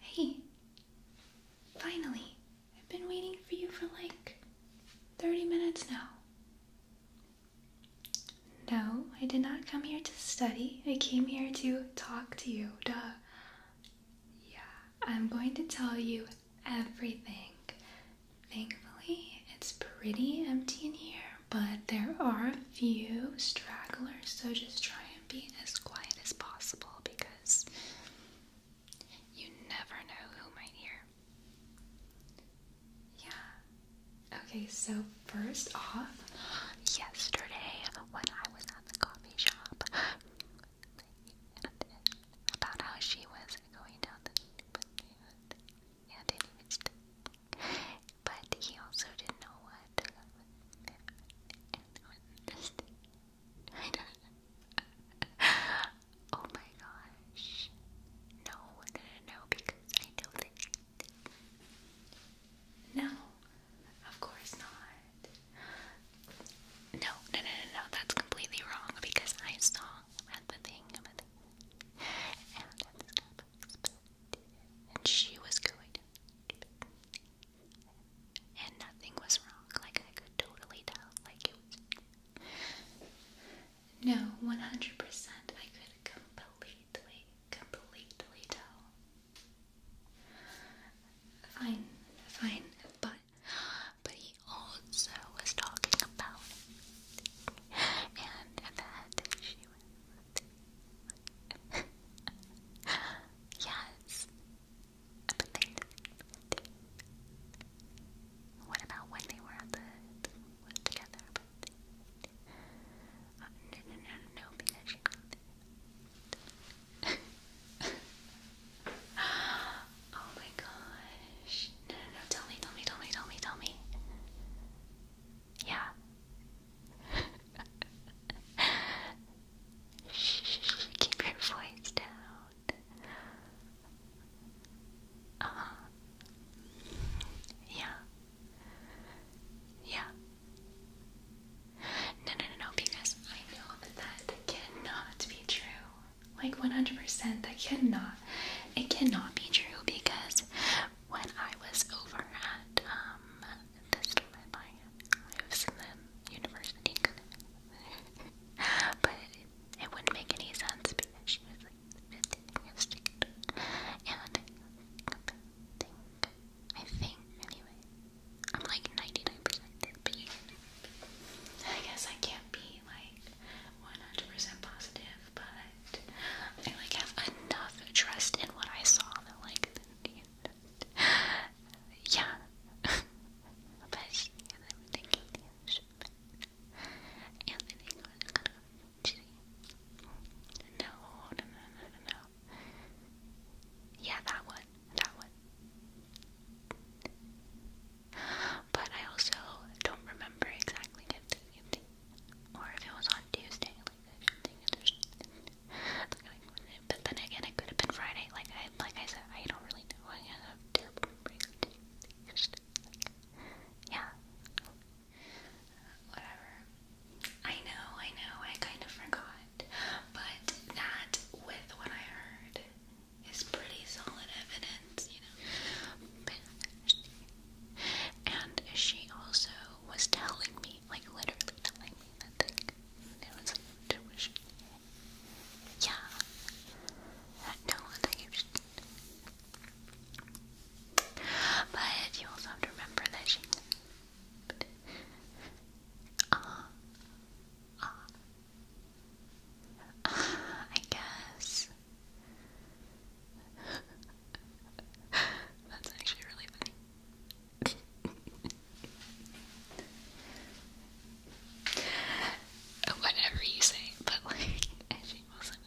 Hey, finally, I've been waiting for you for like 30 minutes now. No, I did not come here to study. I came here to talk to you. Duh. Yeah, I'm going to tell you everything. Thankfully, it's pretty empty in here, but there are a few stragglers, so just try and be as quiet as possible because you never know who might hear. Yeah. Okay, so first off, yesterday when I was coffee shop, about how she was going down the but but he also didn't know what. oh my gosh! no, no, no because I know that. No of course not. No, no, no, no, no, that's completely wrong because I saw at the thing, and she was good, and nothing was wrong. Like I could totally tell, like No, one hundred percent. I could completely, completely tell Fine, fine, but but he also was talking about and that she was yes. What about when they were at the, together? Uh, no, no, no, no, because you Oh my gosh. No, no, no, tell me, tell me, tell me, tell me, tell me. Yeah. shh, keep your voice down. Uh huh. Yeah. Yeah. No, no, no, no, because I know that that cannot be true. Like 100%, that cannot. It cannot be true because when I was over at um, this university. but it, wouldn't make any sense because she was like 15 years old. And think. I think, anyway. I'm like 99% but I guess I can't be like 100% positive, but I like have enough trust in what I saw that like, yeah. but yeah, G. No, no, no, no, no, Yeah, that one, that one. But I also don't remember exactly if the evening or if it was on Tuesday. Like I think it's but then again, it could have been Friday. Like I, like I said, I don't really know. Yeah whatever. I know, I know, I kind of forgot, but that, with what I heard, is pretty solid evidence, you know. And she also was telling me, like literally telling me that like it was like intuition. Yeah. No, I think it but you also have to remember that she Ah, uh, ah. I guess that's actually really funny. Whatever you say, but like, she wasn't.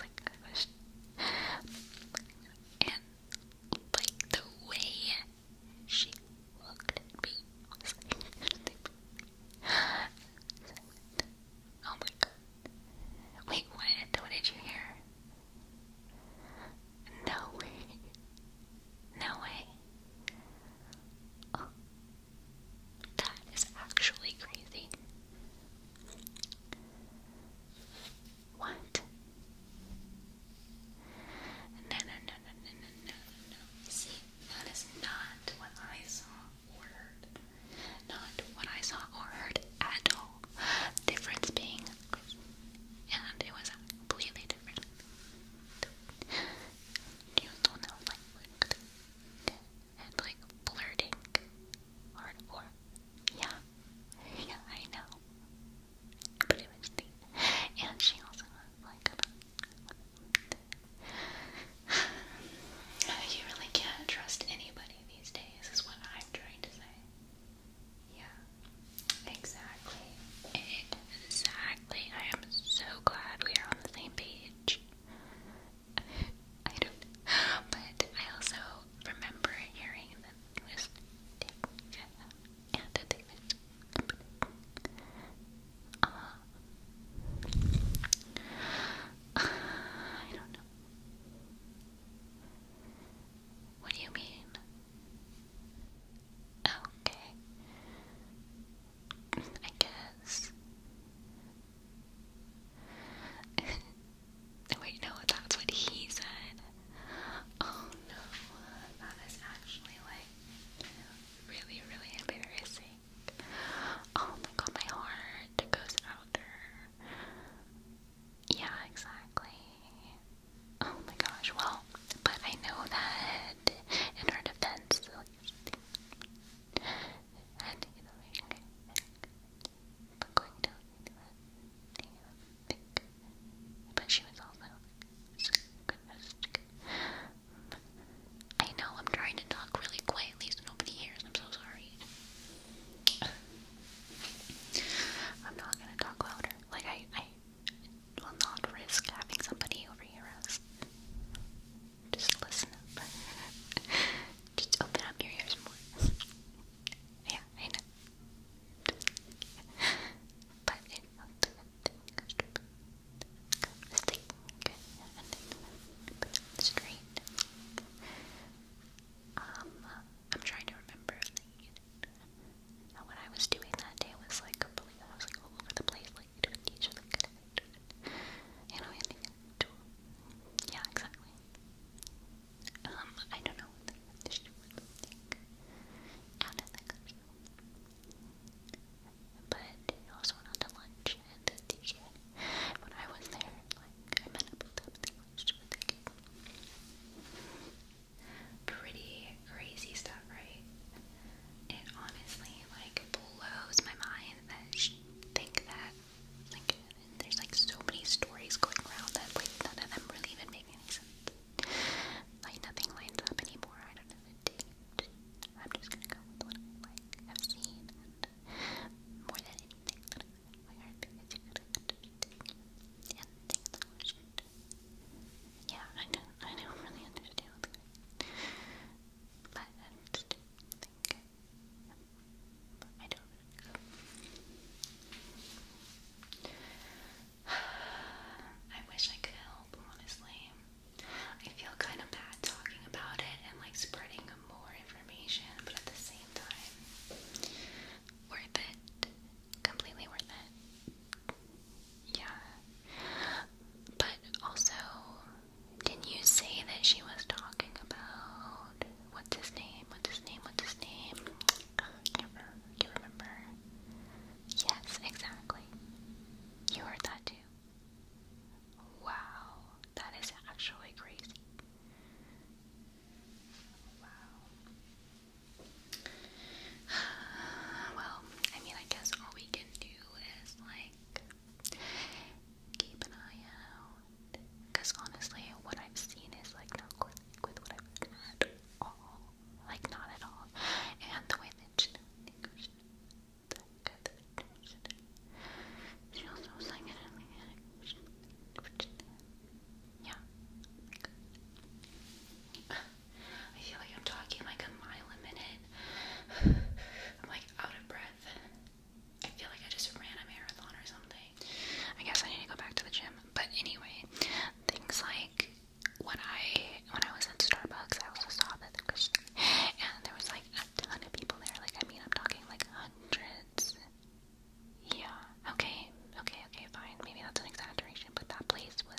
like I was and like the way she looked at me oh my god, wait, what? What did you hear? No way, no way. Oh. That is actually crazy. What? No, no, no, no, no, no, no, no. See, that is not what I saw or heard. Not what I saw or heard at all. Difference being, and it was completely different. You don't know, like, okay and like flirting hardcore. Yeah, yeah, I know. But it was neat. And she also like, you really can't trust anybody these days, is what I'm trying to say. Yeah, exactly. Exactly. I am so glad we are on the same page. I don't but I also remember hearing that it was and they uh, I don't know. What do you mean? Okay. I guess. Wait, no, that's what he said. Oh no, that is actually like really, really embarrassing. Oh my god, my heart goes out Yeah, exactly. Oh my gosh, well, but I know that in her defense, and you but she was also good. I know I'm trying to talk really quietly so nobody hears. I'm so sorry. I'm not gonna talk louder. Like I, I will not risk having somebody overhear us. Just listen up. Just open up your ears more. yeah, I know. but it straight. Um, I'm trying to remember. Like, you I was doing that day, was like completely, I was like all over the place like you Yeah, exactly. Um, I don't know But I also went out to lunch at the TK. When I was there, like, I met up with them and they lunched with the kid. Pretty crazy stuff, right? It honestly like blows my mind that she think that like there's like so many stories going around that like none of them really even make any sense. Like nothing lines up anymore. I don't know the I'm just gonna go with what I have seen more than anything yeah, I don't, I don't really understand But I just I wish I could help, honestly. I feel kind of bad talking about it and like spreading more information, but at the same time, worth it completely worth it. Yeah. But also, didn't you say that she was talking about what's his name? What's his name? What's his name? I can't remember. Do you remember? Yes, exactly. You heard that too. Wow, that is actually crazy. Wow. Well, I mean, I guess all we can do is like keep an eye out. Cause honestly, what I've seen is like not quick with what I've done at all. Like not at all. And the way that Yeah. I feel like I'm talking like a mile a minute. I'm like out of breath. I feel like I just ran a marathon or something. I guess I need to go back to the gym. But anyway, things like when I when I was at Starbucks, I also saw that and there was like a ton of people there. Like I mean, I'm talking like hundreds. Yeah. Okay. Okay. Okay. Fine. Maybe that's an exaggeration, but that place was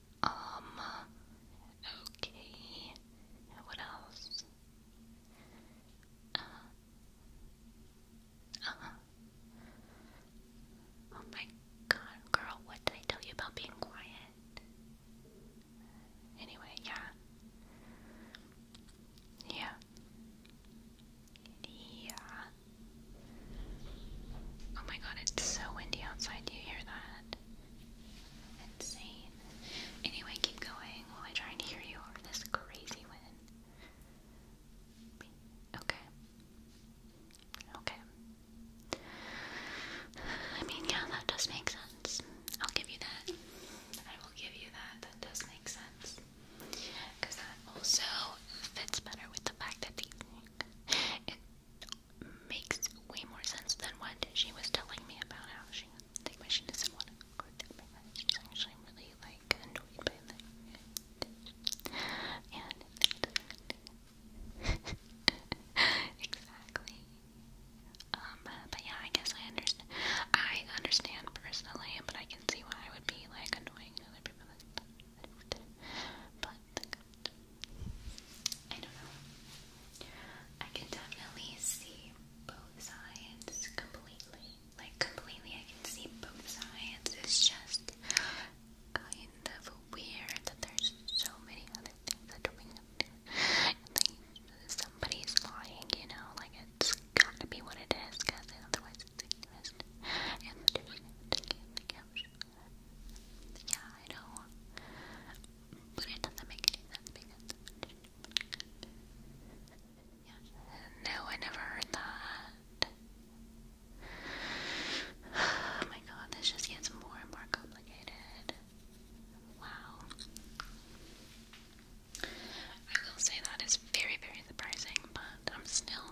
Um, okay. What else? Uh, uh Oh my god, girl, what did I tell you about being quiet? Anyway, yeah. Yeah. Yeah. Oh my god, it's so windy outside. you hear that? Insane. Anyway, keep going while I try and hear you over this crazy wind. Okay. Okay. I mean, yeah, that does make sense. I'll give you that. I will give you that. That does make sense. Because that also fits better with the fact that the, makes way more sense than what she was telling me about how she like machine doesn't want to go that way. She's actually really like annoyed by that. And exactly. Um, but yeah, I guess I understand. I understand personally, but I can see why I would be like annoying other people. And stuff but I don't know. I can definitely see both sides completely. Like completely, I can see both sides. It's just kind of weird that there's so many other things that we have to. Somebody's lying, you know. Like it's got to be what it is, because otherwise it's ignorant. And the different the couch. Yeah, I know. But it doesn't make any sense because. Yeah. No, I never heard that. Oh my god, this just gets more and more complicated. Wow. I will say that is very, very surprising, but I'm still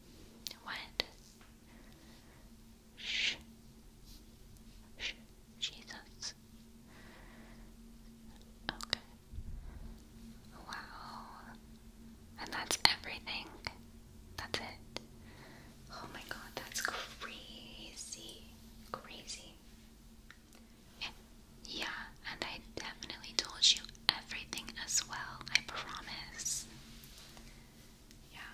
What? Shh. Shh. Jesus. Okay. Wow. And that's everything. That's it. Oh my god, that's crazy. Crazy. Yeah, and I definitely told you everything as well, I promise. Yeah,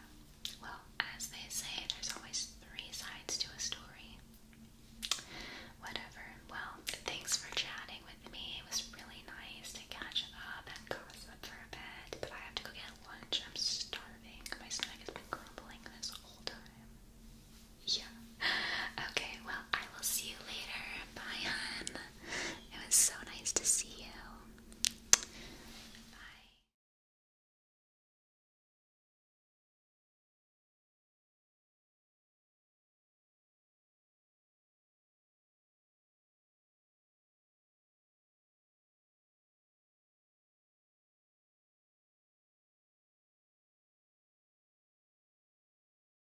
well, as they say, there's always three sides to a story. Whatever. Well, thanks for chatting with me. It was really nice to catch up and gossip for a bit, but I have to go get lunch. I'm starving. My stomach has been grumbling this whole time. Yeah. Okay, well, I will see you later. Bye, hon. It was so nice to see you. Bye.